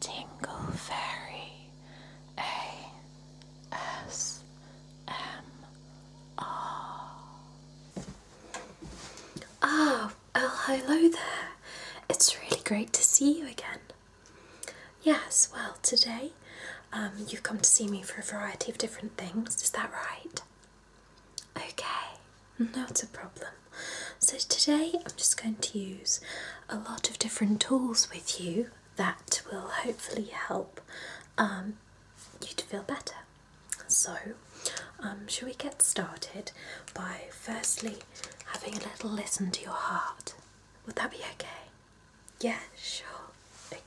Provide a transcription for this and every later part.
Tingle Fairy ASMR. Ah, oh, hello there. It's really great to see you again. Yes, well, today um, you've come to see me for a variety of different things, is that right? Okay, not a problem. So today I'm just going to use a lot of different tools with you that will hopefully help um, you to feel better. So um, shall we get started by firstly having a little listen to your heart? Would that be okay? Yeah, sure. Okay.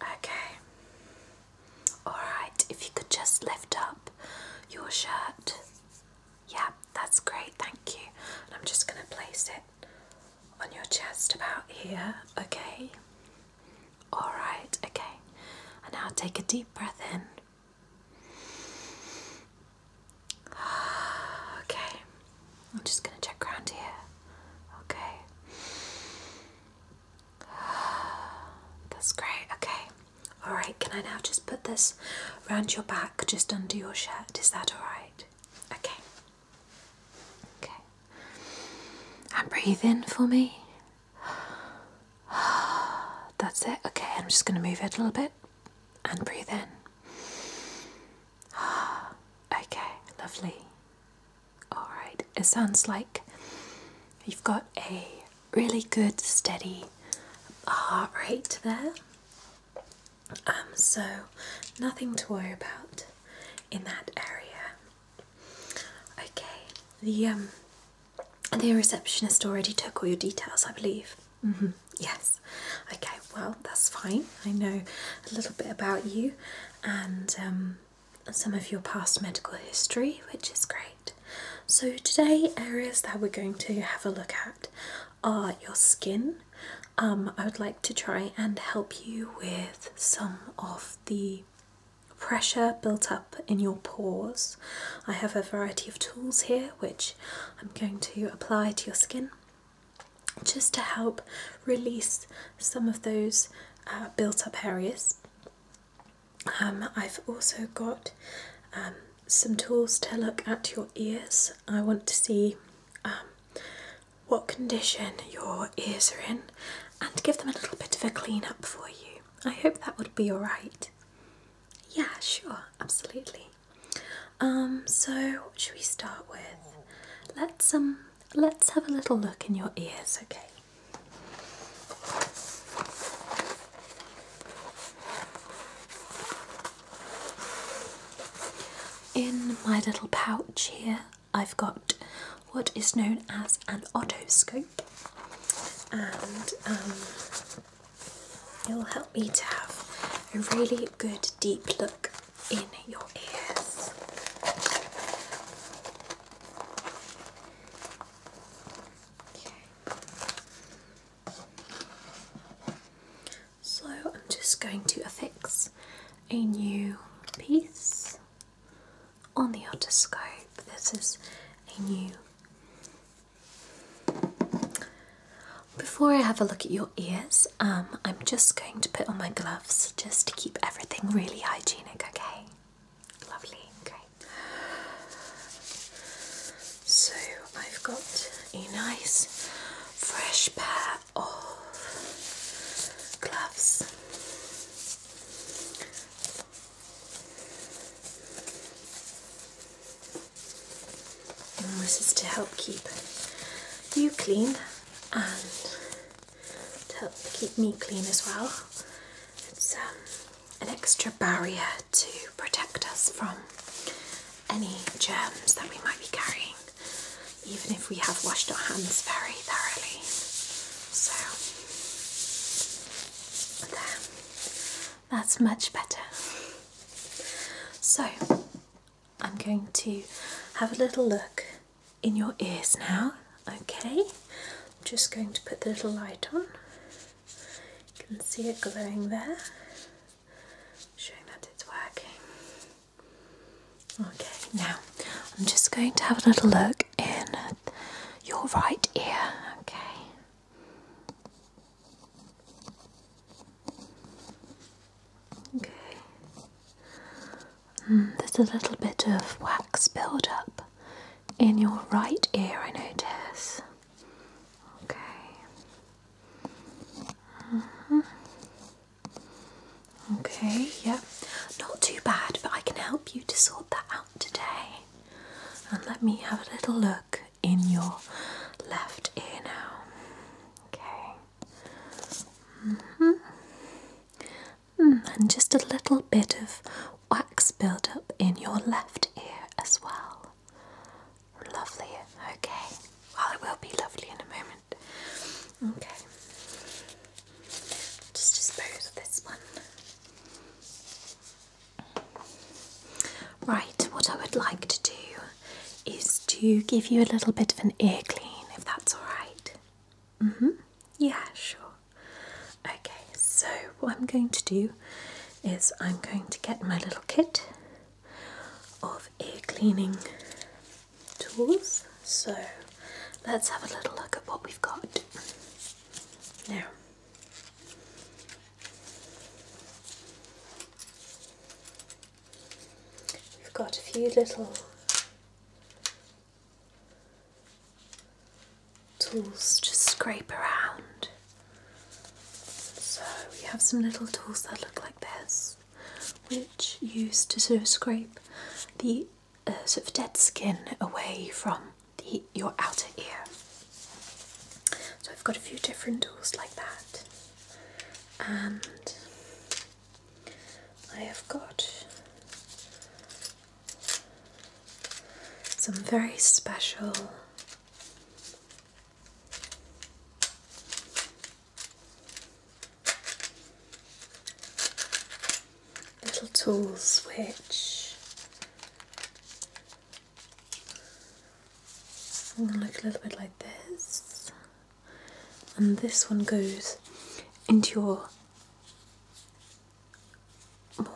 Okay. Alright, if you could just lift up your shirt. Yeah, that's great, thank you. I'm just going to place it on your chest about here, okay? Alright, okay. And now take a deep breath in. Okay, I'm just going to check around here. Okay. That's great, okay. Alright, can I now just put this round your back, just under your shirt? Is that alright? Okay. Okay. And breathe in for me. That's it. Okay, I'm just going to move it a little bit and breathe in. Okay, lovely. Alright, it sounds like you've got a really good, steady heart rate there. Um, so, nothing to worry about in that area. Okay, the um, the receptionist already took all your details, I believe. Mm-hmm. Yes. Okay. Well, that's fine. I know a little bit about you, and um, some of your past medical history, which is great. So, today, areas that we're going to have a look at are your skin. Um, I would like to try and help you with some of the pressure built up in your pores. I have a variety of tools here which I'm going to apply to your skin just to help release some of those uh, built up areas um, I've also got um, some tools to look at your ears. I want to see um, what condition your ears are in and give them a little bit of a clean up for you. I hope that would be alright. Yeah, sure, absolutely. so what should we start with? Let's um let's have a little look in your ears, okay? In my little pouch here, I've got what is known as an otoscope, and um, it will help me to have a really good deep look in your ears. So I'm just going to affix a new piece on the otoscope. This is a new. Before I have a look at your ears, um, I'm just going to put on my gloves just to keep everything really hygienic, okay? Lovely, great. So I've got a nice fresh pair of gloves. And this is to help keep you clean and to help keep me clean as well. It's um, an extra barrier to protect us from any germs that we might be carrying, even if we have washed our hands very thoroughly. So, there, that's much better. So, I'm going to have a little look in your ears now. Okay, I'm just going to put the little light on. You can see it glowing there, showing that it's working. Okay, now I'm just going to have a little look in your right ear. Okay. Okay there's a little bit of wax buildup in your right ear, I notice. Okay. -hmm. Okay, yeah. Not too bad, but I can help you to sort that out today. And let me have a little look in your left ear now. Okay. -hmm. Mm, and just a little bit of wax buildup in your left ear as well. Lovely, okay. Well, it will be lovely in a moment. Okay, just dispose of this one. Right, what I would like to do is to give you a little bit of an ear clean if that's alright. Mm hmm. Yeah, sure. Okay, so what I'm going to do is I'm going to get my little kit of ear cleaning tools. So let's have a little look at what we've got. Now, we've got a few little tools to scrape around. So we have some little tools that look like this, which used to sort of scrape the uh, sort of dead skin away from your outer ear. So I've got a few different tools like that, and I have got some very special little tools which I'm look a little bit like this and this one goes into your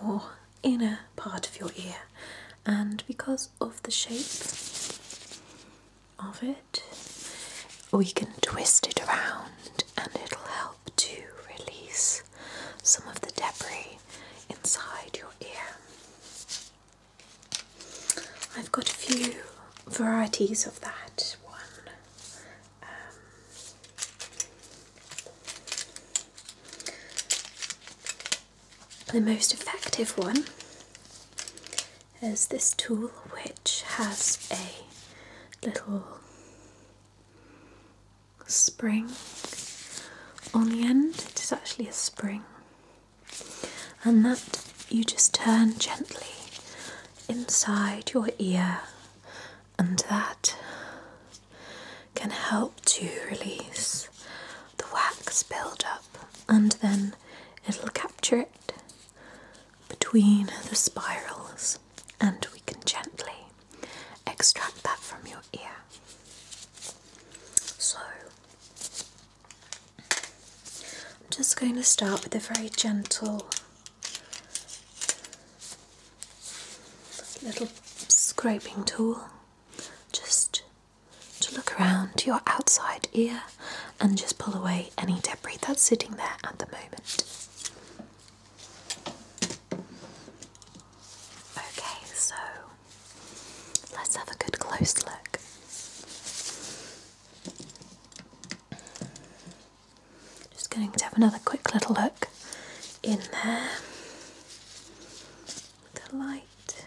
more inner part of your ear, and because of the shape of it, we can twist it around and it'll help to release some of the debris inside your ear. I've got a few varieties of that one um, the most effective one is this tool, which has a little spring on the end. It is actually a spring, and that you just turn gently inside your ear, and that can help to release the wax buildup, and then it'll capture it between the spirals, and we can gently extract that from your ear. So, I'm just going to start with a very gentle little scraping tool just to look around to your outside ear and just pull away any debris that's sitting there at the moment. Okay, so let's have a good close look. Just going to have another quick little look in there. The light.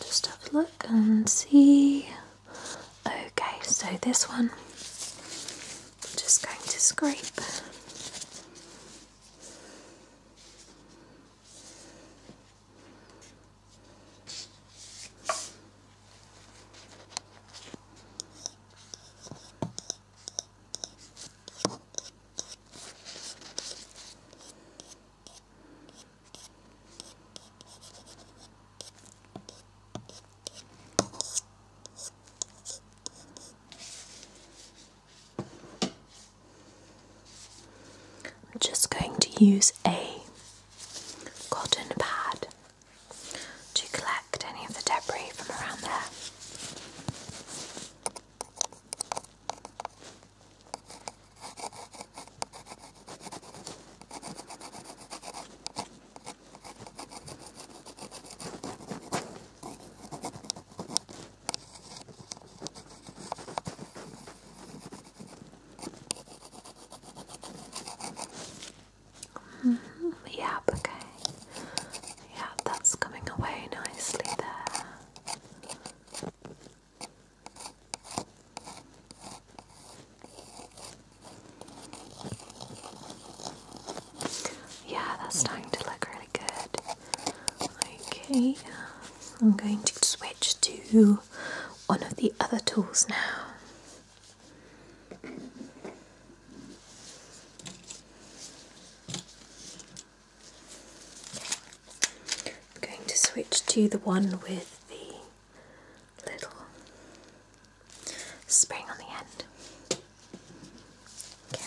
Just have a look and see. Okay, so this one, I'm just going to scrape. I'm just going to use a cotton pad to collect any of the debris from around there. Yeah, mm-hmm. okay. Yeah, that's coming away nicely there. Yeah, that's hmm. starting to look really good. Okay, um, I'm going to switch to one of the other tools now. I'm going to switch to the one with the little spring on the end. Okay.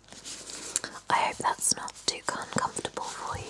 I hope that's not too uncomfortable for you.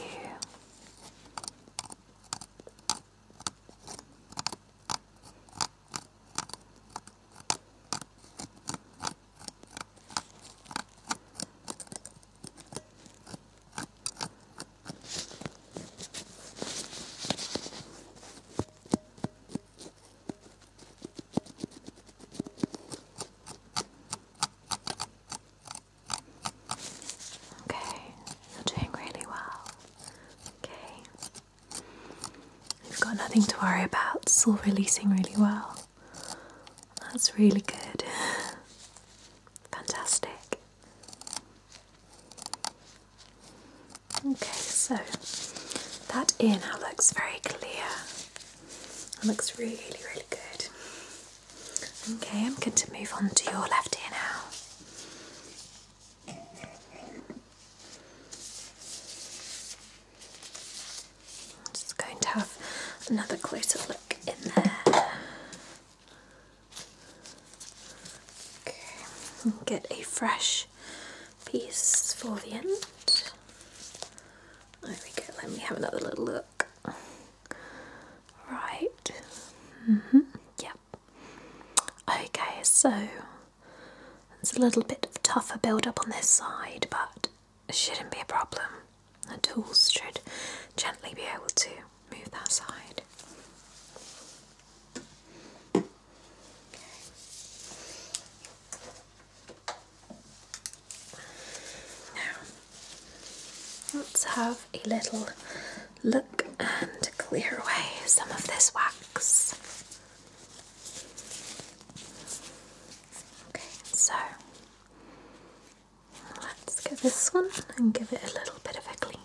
Okay, you're doing really well. Okay. You've got nothing to worry about, it's all releasing really well. That's really good. Fantastic. Okay, so that ear now looks very clear. That looks really, really good. Okay, I'm going to move on to your left ear now. just going to have another closer look in there. Okay, get a fresh piece for the end. There we go, let me have another little look. Right. -hmm. Yep. Okay, so it's a little bit of tougher build up on this side, but shouldn't be a problem. The tools should gently be able to move that side. Now, let's have a little look and clear away some of this wax. Okay, so let's get this one and give it a little bit of a clean.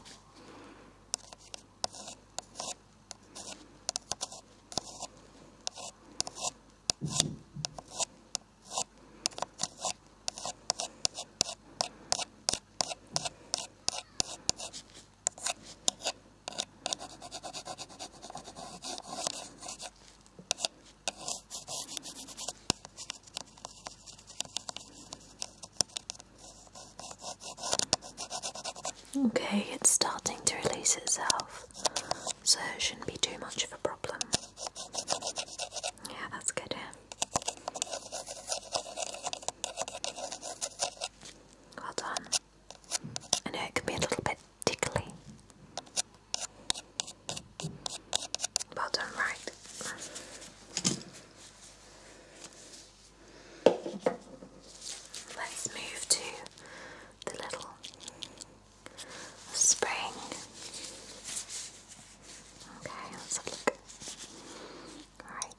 Okay, it's starting to release itself so it shouldn't be too much of a problem. Yeah, that's good. Well done. I know it can be a little bit tickly. Well done, right. Let's move to the little spring. Okay, let's look. Alright.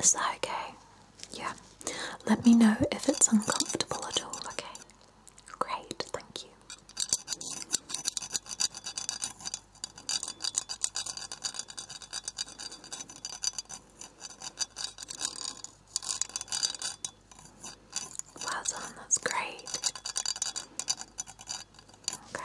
Is that okay? Yeah. Let me know if it's uncomfortable at all, okay? Great, thank you. Well done, that's great. Okay.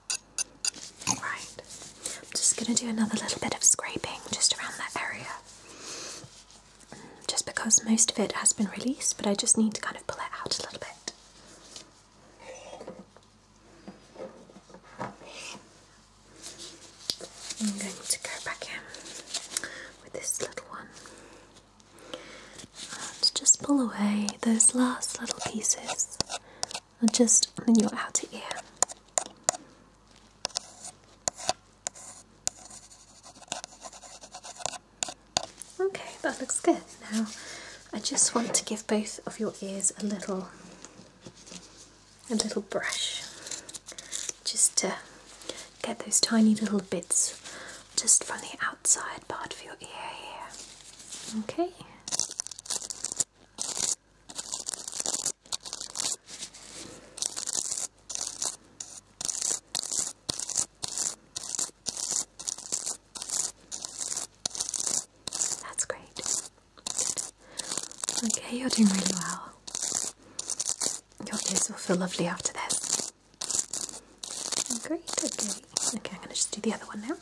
Right, I'm just going to do another little bit of scraping just around that area. Just because most of it has been released, but I just need to kind of pull it out a little bit. I'm going to go back in with this little one and just pull away those last little pieces and just in your outer ear. Okay, that looks good. Now, I just want to give both of your ears a little, a little brush, just to get those tiny little bits just from the outside part of your ear Okay. That's great. Okay, you're doing really well. Your ears will feel lovely after this. Great, okay. Okay, I'm going to just do the other one now.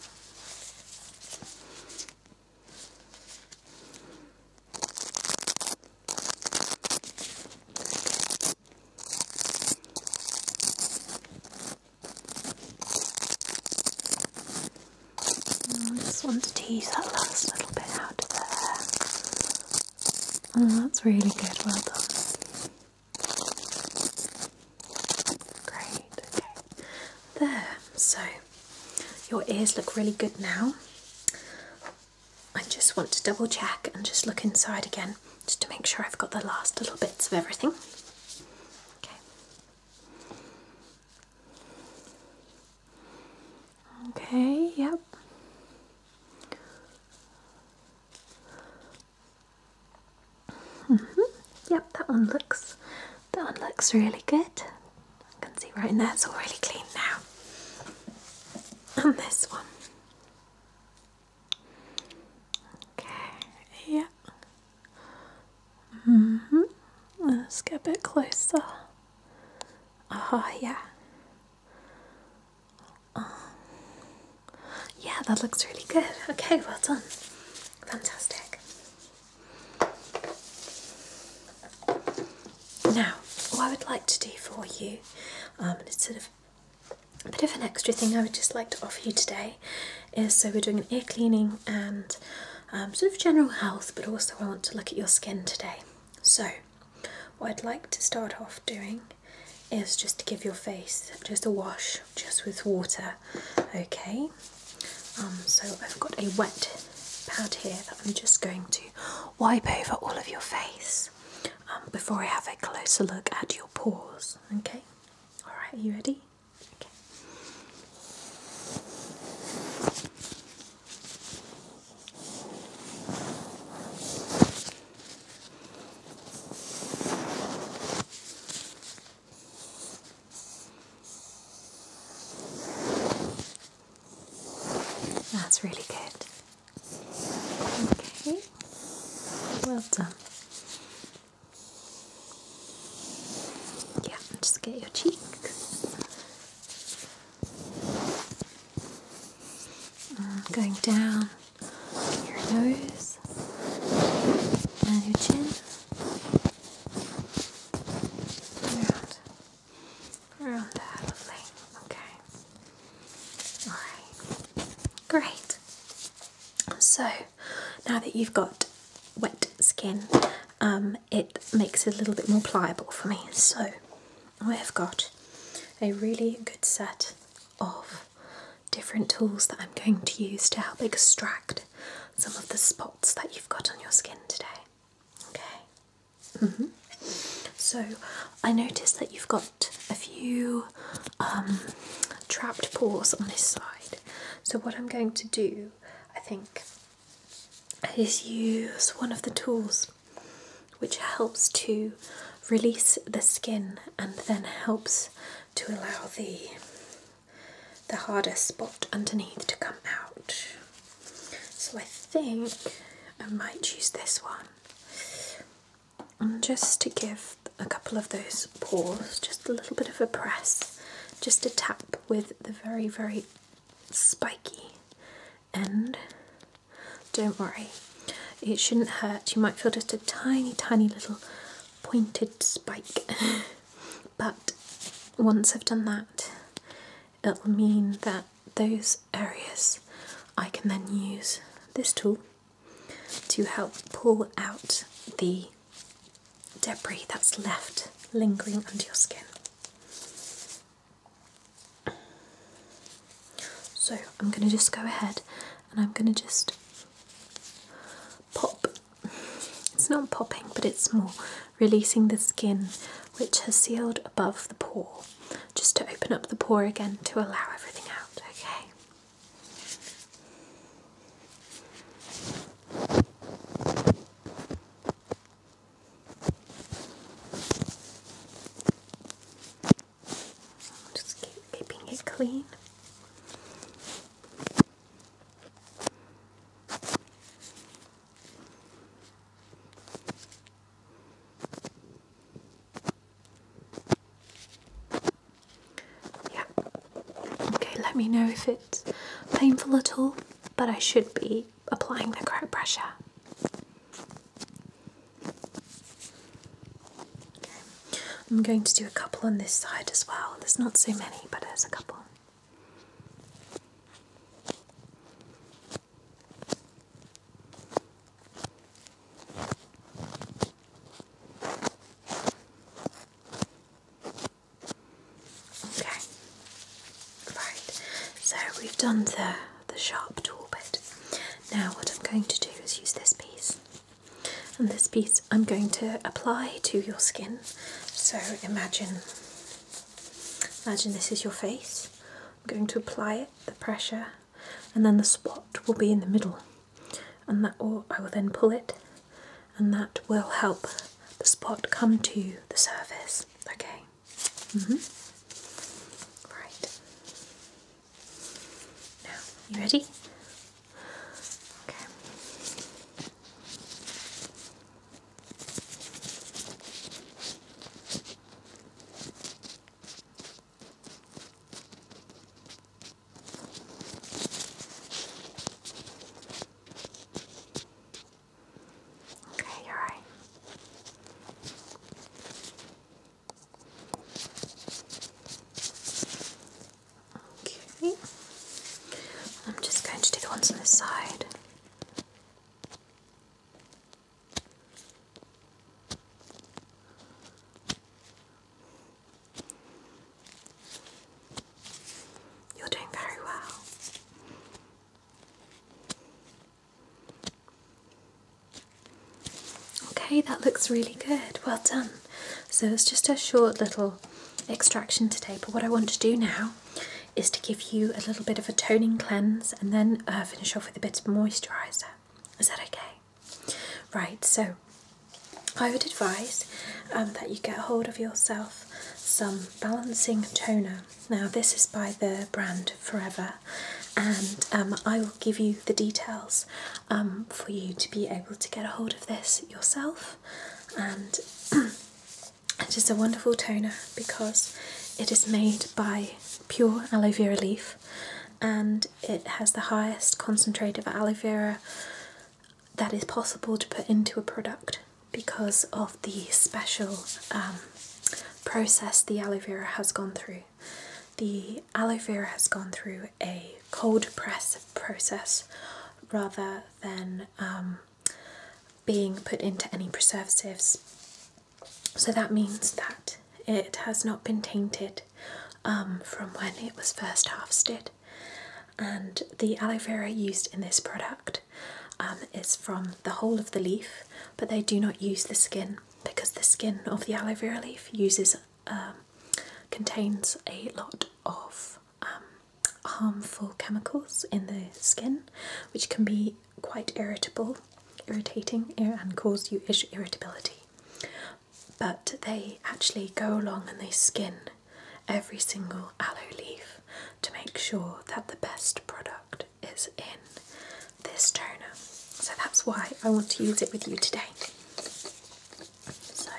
Oh, I just want to tease that last little bit out of there. Oh, that's really good, well done. Great, there, so your ears look really good now. I just want to double check and just look inside again just to make sure I've got the last little bits of everything. Okay, yep. Mm-hmm. Yep, that one looks that one looks really good. I can see right in there, it's all really clean now. And this one. Okay, yeah. hmm Let's get a bit closer. Ah, oh, yeah. Oh. Yeah, that looks really good. Okay, well done. Fantastic. Now, what I would like to do for you, um, sort of a bit of an extra thing I would just like to offer you today, is so we're doing an ear cleaning and um, sort of general health, but also I want to look at your skin today. So, what I'd like to start off doing is just to give your face just a wash, just with water, okay? Um, so I've got a wet pad here that I'm just going to wipe over all of your face um, before I have a closer look at your pores, okay. Alright, are you ready? Okay. That's really good. Okay, well done. Yeah, just get your cheeks. Uh, going down your nose and your chin. Around, around that, lovely. Okay. Alright. Great. So, now that you've got wet skin, um, it makes it a little bit more pliable for me. So, I have got a really good set of different tools that I'm going to use to help extract some of the spots that you've got on your skin today. Okay. Mm-hmm. So I noticed that you've got a few um, trapped pores on this side. So what I'm going to do, I think, is use one of the tools which helps to release the skin and then helps to allow the the hardest spot underneath to come out. So I think I might use this one. just to give a couple of those pores just a little bit of a press, just a tap with the very, very spiky end. Don't worry, it shouldn't hurt. You might feel just a tiny, tiny little pointed spike. But once I've done that, it'll mean that those areas I can then use this tool to help pull out the debris that's left lingering under your skin. So I'm going to just go ahead and I'm going to just pop it's not popping, but it's more releasing the skin which has sealed above the pore, just to open up the pore again to allow everything out, okay? Just keeping it clean. Yeah. Okay, let me know if it's painful at all, but I should be applying the correct pressure. I'm going to do a couple on this side as well. There's not so many, but there's a couple. Okay, right, so we've done the, the sharp tool bit. Now, what I'm going to do is use this piece and this piece I'm going to apply to your skin so imagine imagine this is your face I'm going to apply it the pressure and then the spot will be in the middle and that will, I will then pull it and that will help the spot come to the surface okay mm-hmm. right now you ready Okay. Okay, you Okay. I'm just going to do the ones on this side. You're doing very well. Okay, that looks really good. Well done. So it's just a short little extraction today. But what I want to do now is to give you a little bit of a toning cleanse and then uh, finish off with a bit of moisturiser. Is that okay? Right, so I would advise um, that you get hold of yourself some balancing toner. Now this is by the brand Forever and um, I will give you the details um, for you to be able to get a hold of this yourself and it is a wonderful toner because it is made by pure aloe vera leaf and it has the highest concentration of aloe vera that is possible to put into a product because of the special um, process the aloe vera has gone through. The aloe vera has gone through a cold press process rather than um, being put into any preservatives. So that means that it has not been tainted um, from when it was first harvested. And the aloe vera used in this product um, is from the whole of the leaf, but they do not use the skin because the skin of the aloe vera leaf uses um, contains a lot of um, harmful chemicals in the skin, which can be quite irritable, irritating, eh, and cause you irritability. But they actually go along and they skin every single aloe leaf to make sure that the best product is in this toner. So that's why I want to use it with you today. So,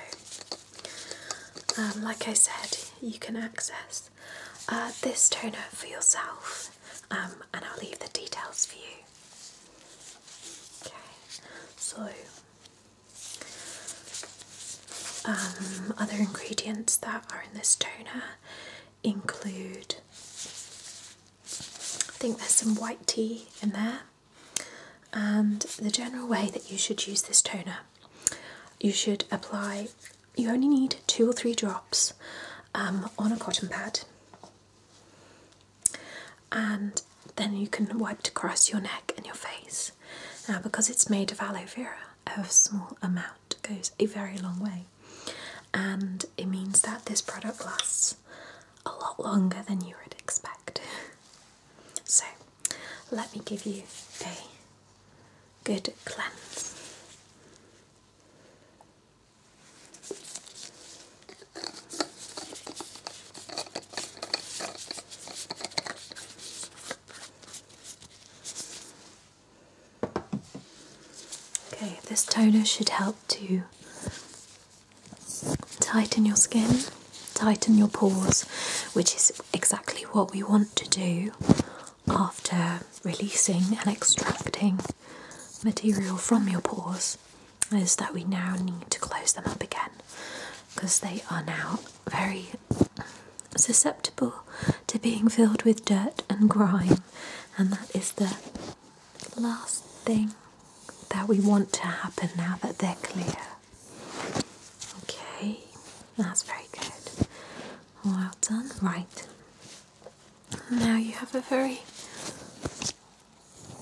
um, like I said, you can access uh, this toner for yourself, um, and I'll leave the details for you. Okay, so um, other ingredients that are in this toner include I think there's some white tea in there, and the general way that you should use this toner, you should apply, you only need two or three drops um, on a cotton pad, and then you can wipe across your neck and your face. Now, because it's made of aloe vera, a small amount goes a very long way, and it means that this product lasts a lot longer than you would expect. So let me give you a good cleanse. Okay, this toner should help too. Tighten your skin, tighten your pores, which is exactly what we want to do after releasing and extracting material from your pores. Is that we now need to close them up again because they are now very susceptible to being filled with dirt and grime, and that is the last thing that we want to happen now that they're clear. Okay, that's very good. Well done. Right. Now you have a very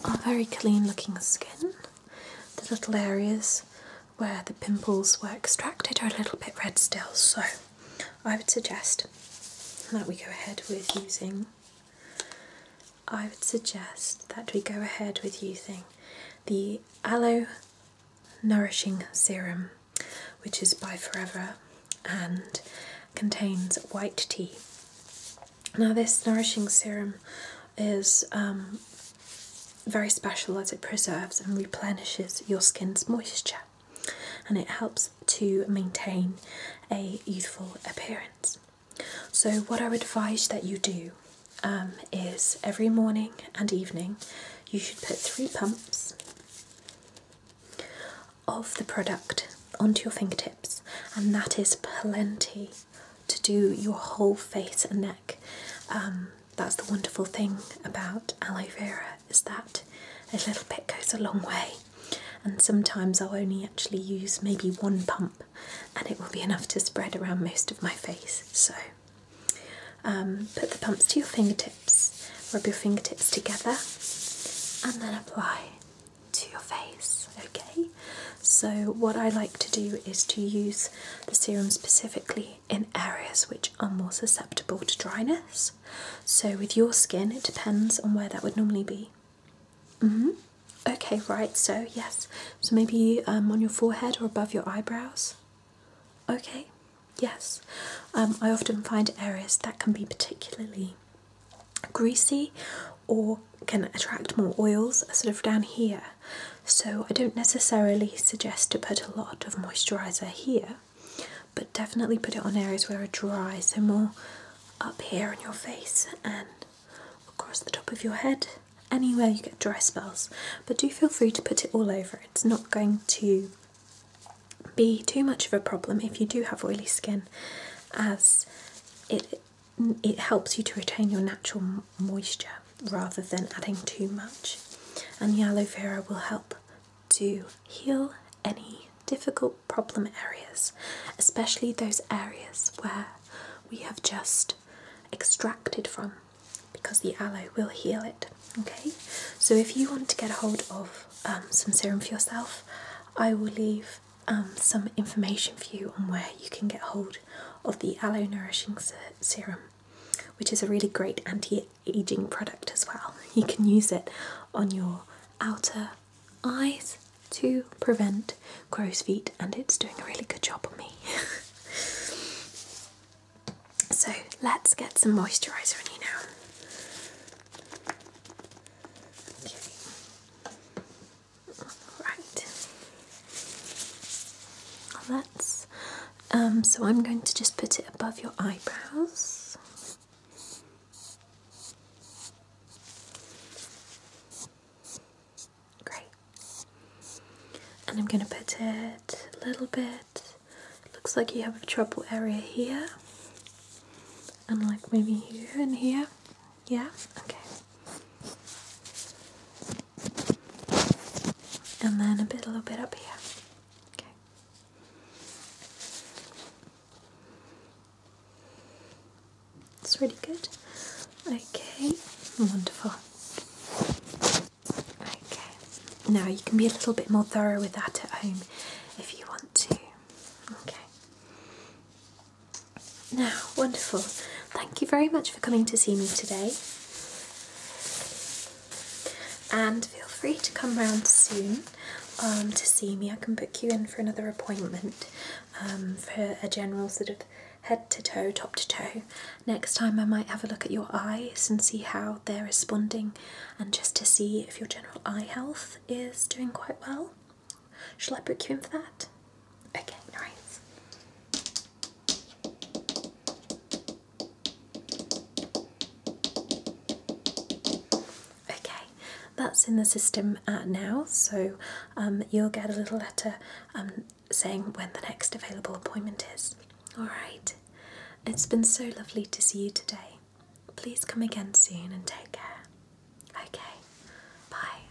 a very clean looking skin. The little areas where the pimples were extracted are a little bit red still, so I would suggest that we go ahead with using I would suggest that we go ahead with using the Aloe Nourishing Serum, which is by Forever and contains white tea. Now, this nourishing serum is um, very special as it preserves and replenishes your skin's moisture and it helps to maintain a youthful appearance. So, what I advise that you do um, is every morning and evening you should put three pumps of the product onto your fingertips, and that is plenty to do your whole face and neck. Um, that's the wonderful thing about aloe vera is that a little bit goes a long way, and sometimes I'll only actually use maybe one pump and it will be enough to spread around most of my face. So um, put the pumps to your fingertips, rub your fingertips together, and then apply to your face. Okay, so what I like to do is to use the serum specifically in areas which are more susceptible to dryness. So, with your skin, it depends on where that would normally be. -hmm. Okay, right, so yes. So maybe um, on your forehead or above your eyebrows? Okay, yes. Um, I often find areas that can be particularly greasy or can attract more oils uh, sort of down here. So I don't necessarily suggest to put a lot of moisturiser here, but definitely put it on areas where it dries. so more up here on your face and across the top of your head, anywhere you get dry spells. But do feel free to put it all over. It's not going to be too much of a problem if you do have oily skin, as it it helps you to retain your natural moisture rather than adding too much. And the aloe vera will help to heal any difficult problem areas, especially those areas where we have just extracted from because the aloe will heal it. Okay, so if you want to get a hold of um, some serum for yourself, I will leave um, some information for you on where you can get hold of the aloe nourishing serum, which is a really great anti aging product as well. You can use it on your outer eyes to prevent crow's feet, and it's doing a really good job on me. so let's get some moisturiser on you now. Right. Let's. Um, so I'm going to just put it above your eyebrows. Great. And I'm going to put it a little bit. looks like you have a trouble area here. And like maybe here and here. Yeah? Okay. And then a bit, a little bit up here. Okay. It's really good. Okay, wonderful. Okay, now you can be a little bit more thorough with that at home if you want to. Okay. Now, wonderful. Thank you very much for coming to see me today. And feel free to come round soon um, to see me. I can book you in for another appointment. Um, for a general sort of head to toe, top to toe. Next time I might have a look at your eyes and see how they're responding and just to see if your general eye health is doing quite well. Shall I book you in for that? Okay, nice. Okay, that's in the system uh, now, so um, you'll get a little letter um, saying when the next available appointment is. Alright, it's been so lovely to see you today. Please come again soon and take care. Okay, bye.